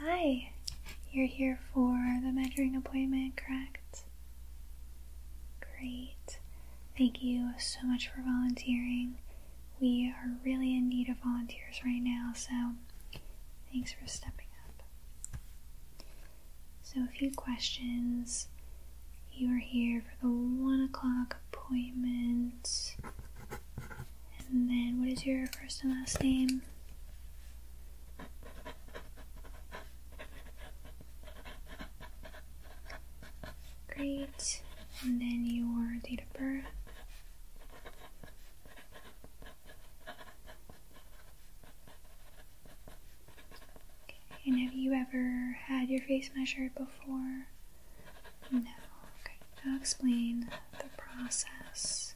Hi, you're here for the measuring appointment, correct? Great. Thank you so much for volunteering. We are really in need of volunteers right now, so thanks for stepping up. So, a few questions. You are here for the one o'clock appointment. And then what is your first and last name? Great. And then your date of birth. And have you ever had your face measured before? No, okay, I'll explain the process.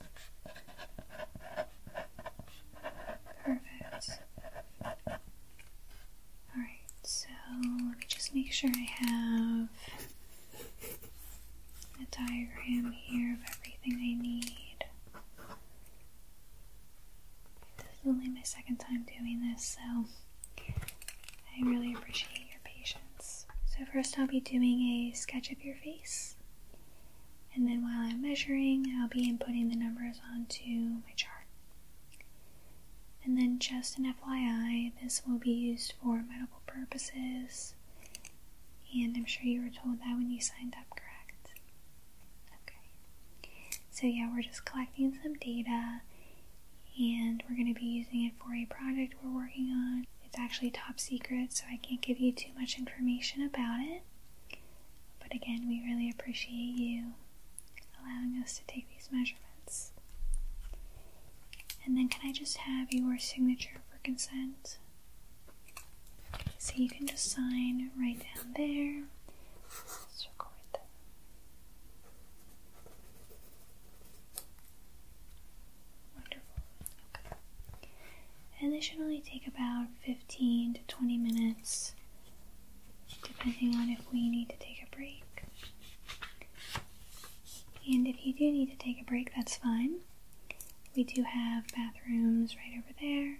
Perfect. Alright, so let me just make sure I have a diagram here of everything I need. This is only my second time doing this, so I really appreciate your patience. So, first, I'll be doing a sketch of your face, and then while I'm measuring, I'll be inputting the numbers onto my chart. And then, just an FYI, this will be used for medical purposes, and I'm sure you were told that when you signed up, correct? Okay. So, yeah, we're just collecting some data and we're going to be using it for a project we're working on. It's actually top secret, so I can't give you too much information about it. But again, we really appreciate you allowing us to take these measurements. And then, can I just have your signature for consent? So you can just sign right down there. Circle right Wonderful. Okay. And this should only take about 15 to 20 minutes, depending on if we need to take a break. And if you do need to take a break, that's fine. We do have bathrooms right over there,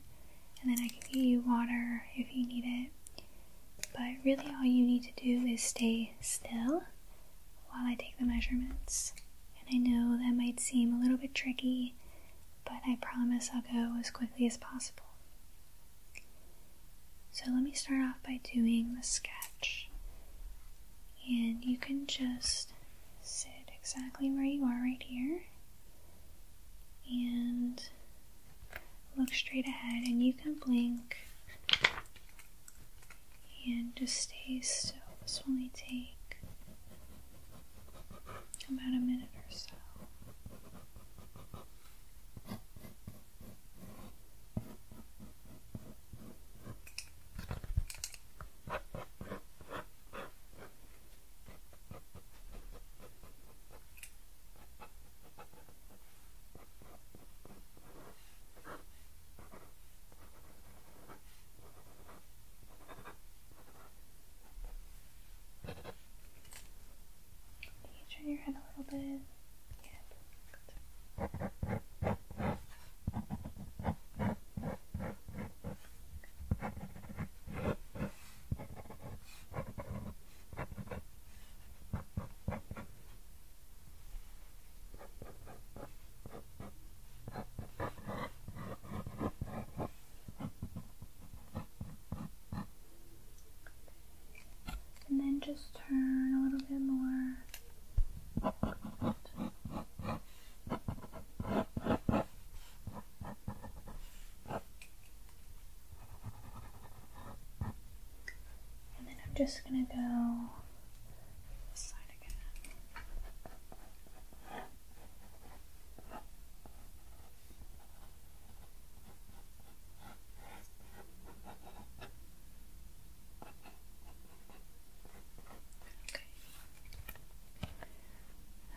and then I can give you water if you need it. But really all you need to do is stay still while I take the measurements. And I know that might seem a little bit tricky, but I promise I'll go as quickly as possible. So let me start off by doing the sketch. And you can just sit exactly where you are right here. And look straight ahead and you can blink and just stay still. This will only take about a minute or so. Can you turn your head a little bit? Yeah, perfect. Okay. And then just turn a little bit more. And then I'm just gonna go this side again. Okay.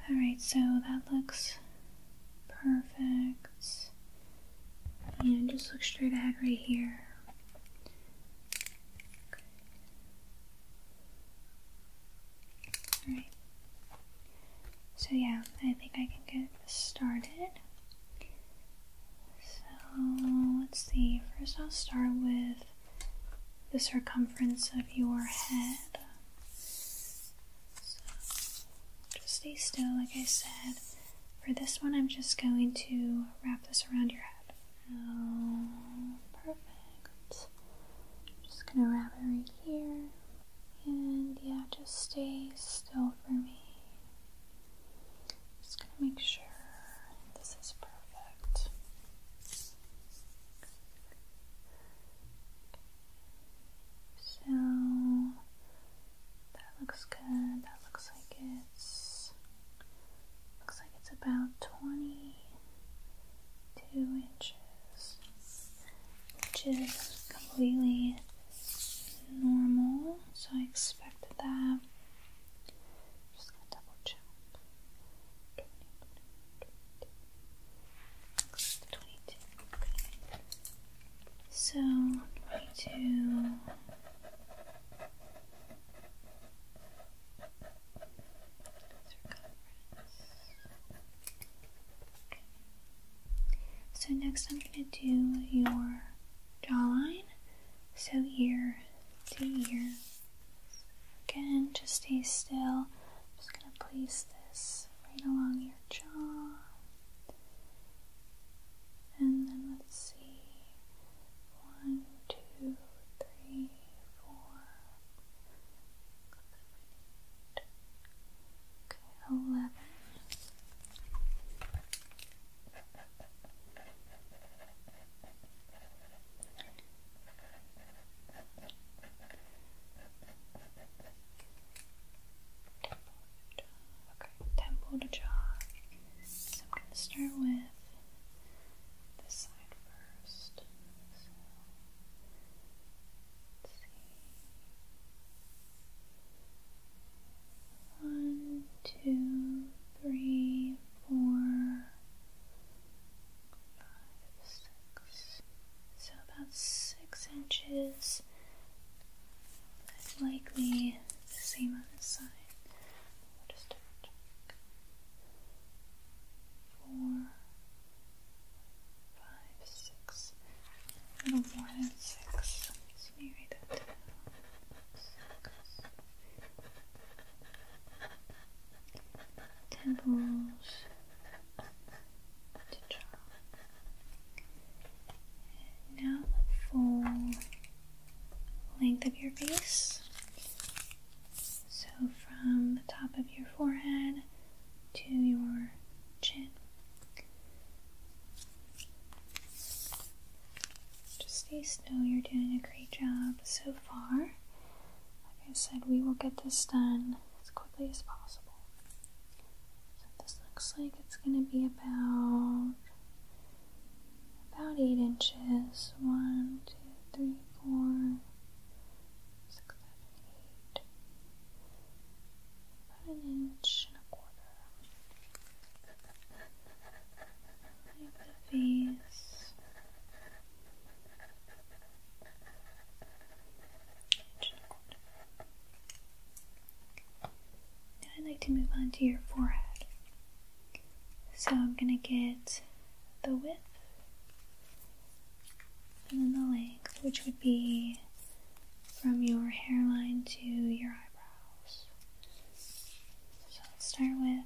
Alright, so that looks Perfect. And just look straight ahead right here. Alright. So yeah, I think I can get started. So let's see. First I'll start with the circumference of your head just stay still, like I said. For this one, I'm just going to wrap this around your head. Oh, perfect. just gonna wrap it right here. And yeah, just stay still for me. Just gonna make sure this is perfect. So that looks good. That looks like it's looks like it's about 22 inches, which is completely normal. So I expected that. Just gonna double check. So, 22. Okay. So next I'm going to do your jawline. So here, to here. Again, just stay still. I'm just going to place this right along your jaw. And then let's see. One, two, three, four. Okay, eleven. Temple to jar. Okay, temple to jar. I'm gonna start with this side first. So let's see. One, two, three, four, so about six inches. That's likely the same on the side. Four, five, six. A little more than six. let me write that Temples now the full length of your face. So from the top of your forehead to your chin. Just stay you're doing a great job so far. Like I said, we will get this done as quickly as possible. So this looks like it's going to be about about eight inches. One, two, three, four, six, seven, eight. About an inch and a quarter. Like the face. I'd like to move on to your forehead. So I'm going to get the width and then the length, which would be from your hairline to your eyebrows. So let's start with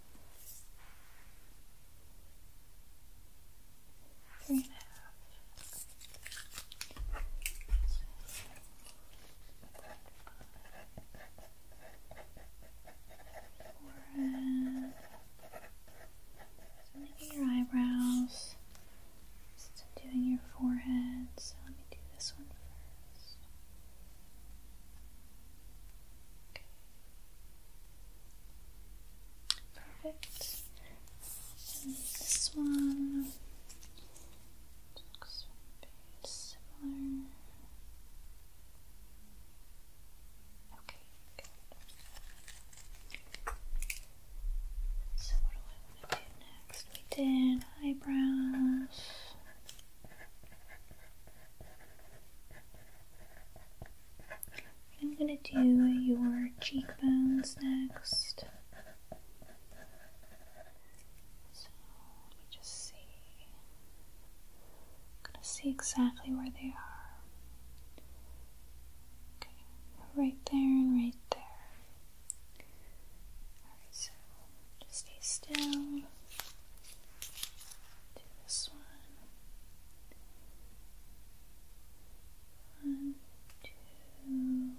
Three and a half. Forehead. doing your eyebrows. doing your forehead, let me do this one first. Perfect. this one looks very similar. Okay, So what do I want to do next? We did eyebrows. I'm going to do your cheekbones next. So let me just see. going to see exactly where they are. Okay, right there and right there. Just stay still. Do this one. One, two, three. Three and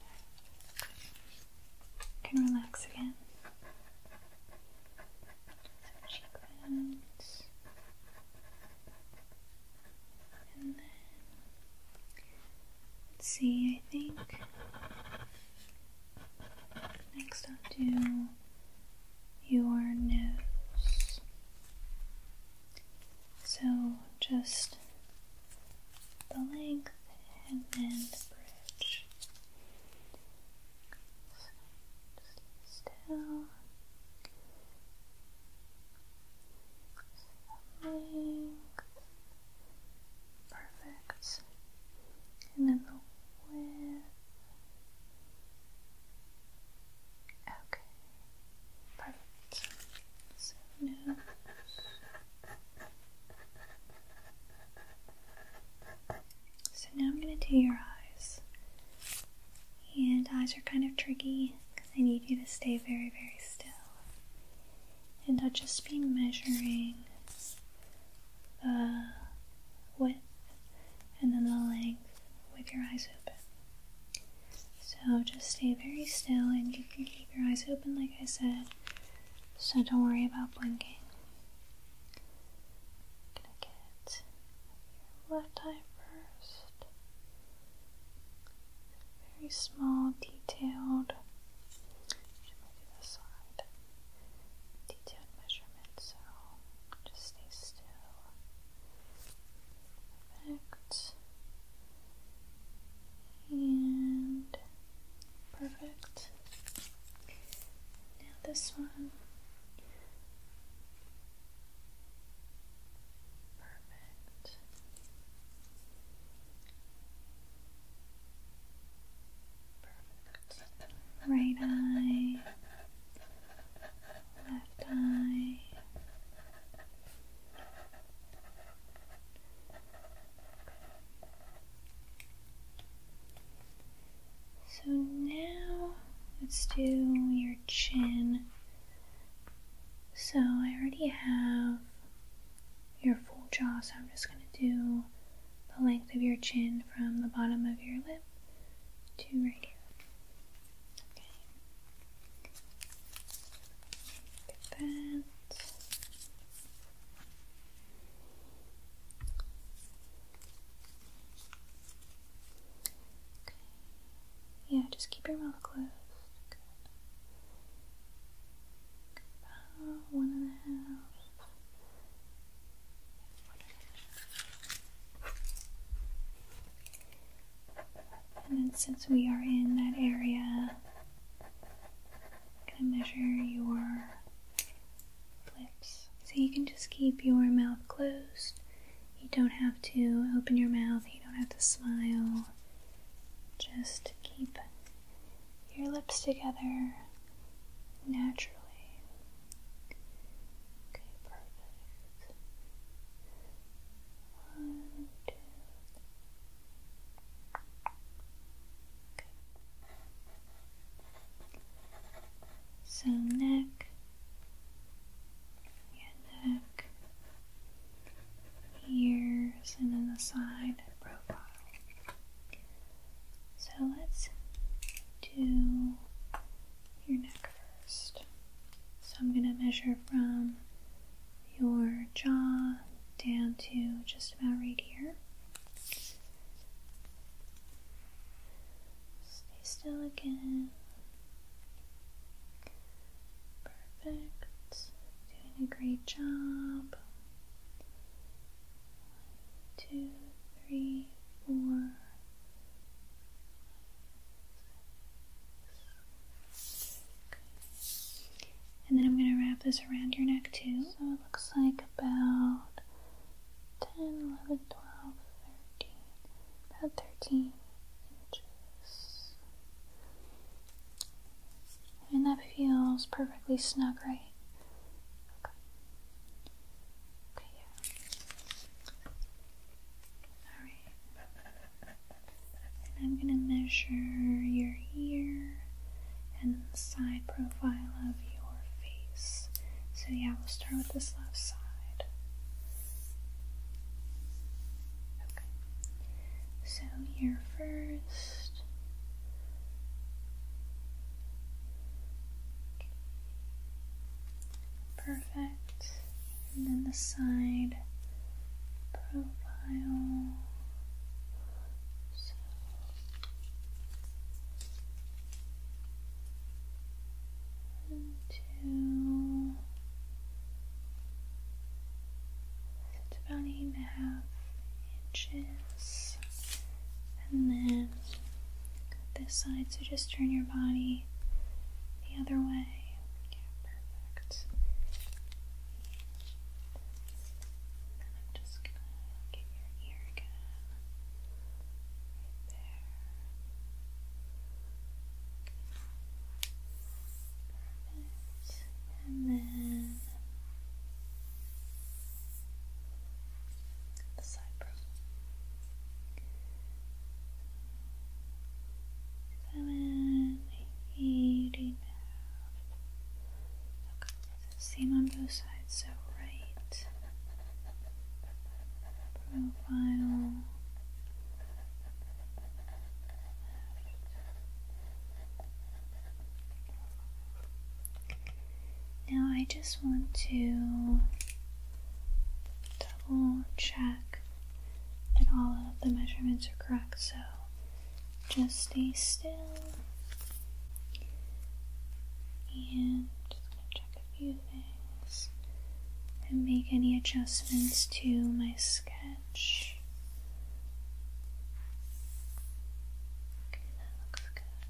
a half. can relax again and then let's see. I think next I'll do your nose. So just the length and then the bridge just still. Length. Perfect. And then the width. Okay. Perfect. So now so now I'm going to do your eyes. And eyes are kind of tricky because I need you to stay very, very still. And I'll just be measuring the width and then the length with your eyes open. So just stay very still and you can keep your eyes open, like I said. So don't worry about blinking gonna get your left eye first. Very small, detailed. Detailed measurement, so just stay still. Perfect. And Perfect. Now this one. Perfect. Perfect. Right eye. Left eye. So now let's do your chin. So I already have your full jaw, so I'm just going to do the length of your chin from the bottom of your lip to right here. Okay. Get that. Yeah, just keep your mouth closed. one and a half. And then, since we are in that area, I'm going to measure your lips. So you can just keep your mouth closed. You don't have to open your mouth, you don't have to smile. Just keep your lips together naturally. Okay, perfect. One, two. So neck, your neck, ears, and then the side profile. So let's do your neck first. So I'm going to measure from your jaw down to just about right here. Stay still again. Perfect. Doing a great job. One, two, and then I'm going to wrap this around your neck too. So it looks like about 10, 11, 12, 13, about 13 inches. And that feels perfectly snug, right? Okay. Okay, yeah. Alright. And I'm going to measure your ear and the side profile of your face. So, yeah, we'll start with this left side. Okay. So, here first. Perfect. And then the side profile. Until it's about eight and a half inches, and then this side. So just turn your body the other way. Yeah, perfect. And i just gonna get your ear again. Right there. Perfect. And then the side brow. Seven, eighty now. Same on both sides, so right profile. Now I just want to double check that all of the measurements are correct. So just stay still. And just gonna check a few things and make any adjustments to my sketch. that looks good.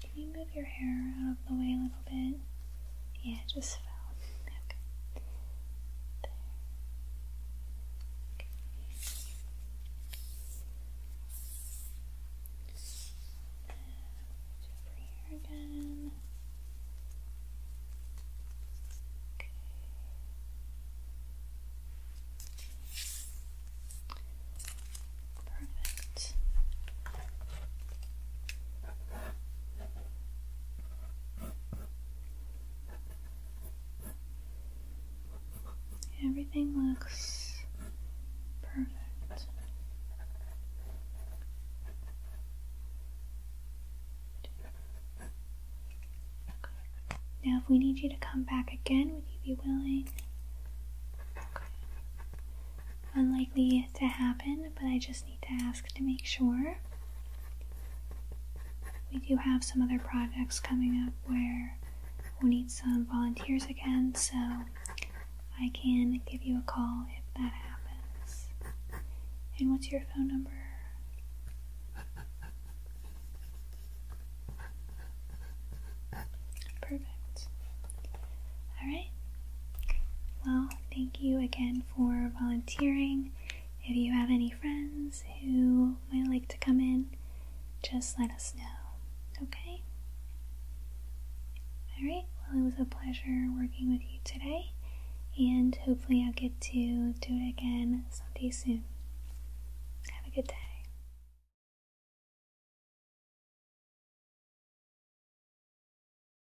Can you move your hair out of the way a little bit? Yeah, it just felt Okay. Okay. Over here again. Okay. Perfect. Everything looks perfect. Now, if we need you to come back again, would you be willing? Unlikely to happen, but I just need to ask to make sure. We do have some other projects coming up where we'll need some volunteers again, so I can give you a call if that happens. And what's your phone number? Perfect. Alright. Well, thank you again for volunteering. If you have any friends who might like to come in, just let us know, okay? Alright, well, it was a pleasure working with you today, and hopefully, I'll get to do it again someday soon. Have a good day.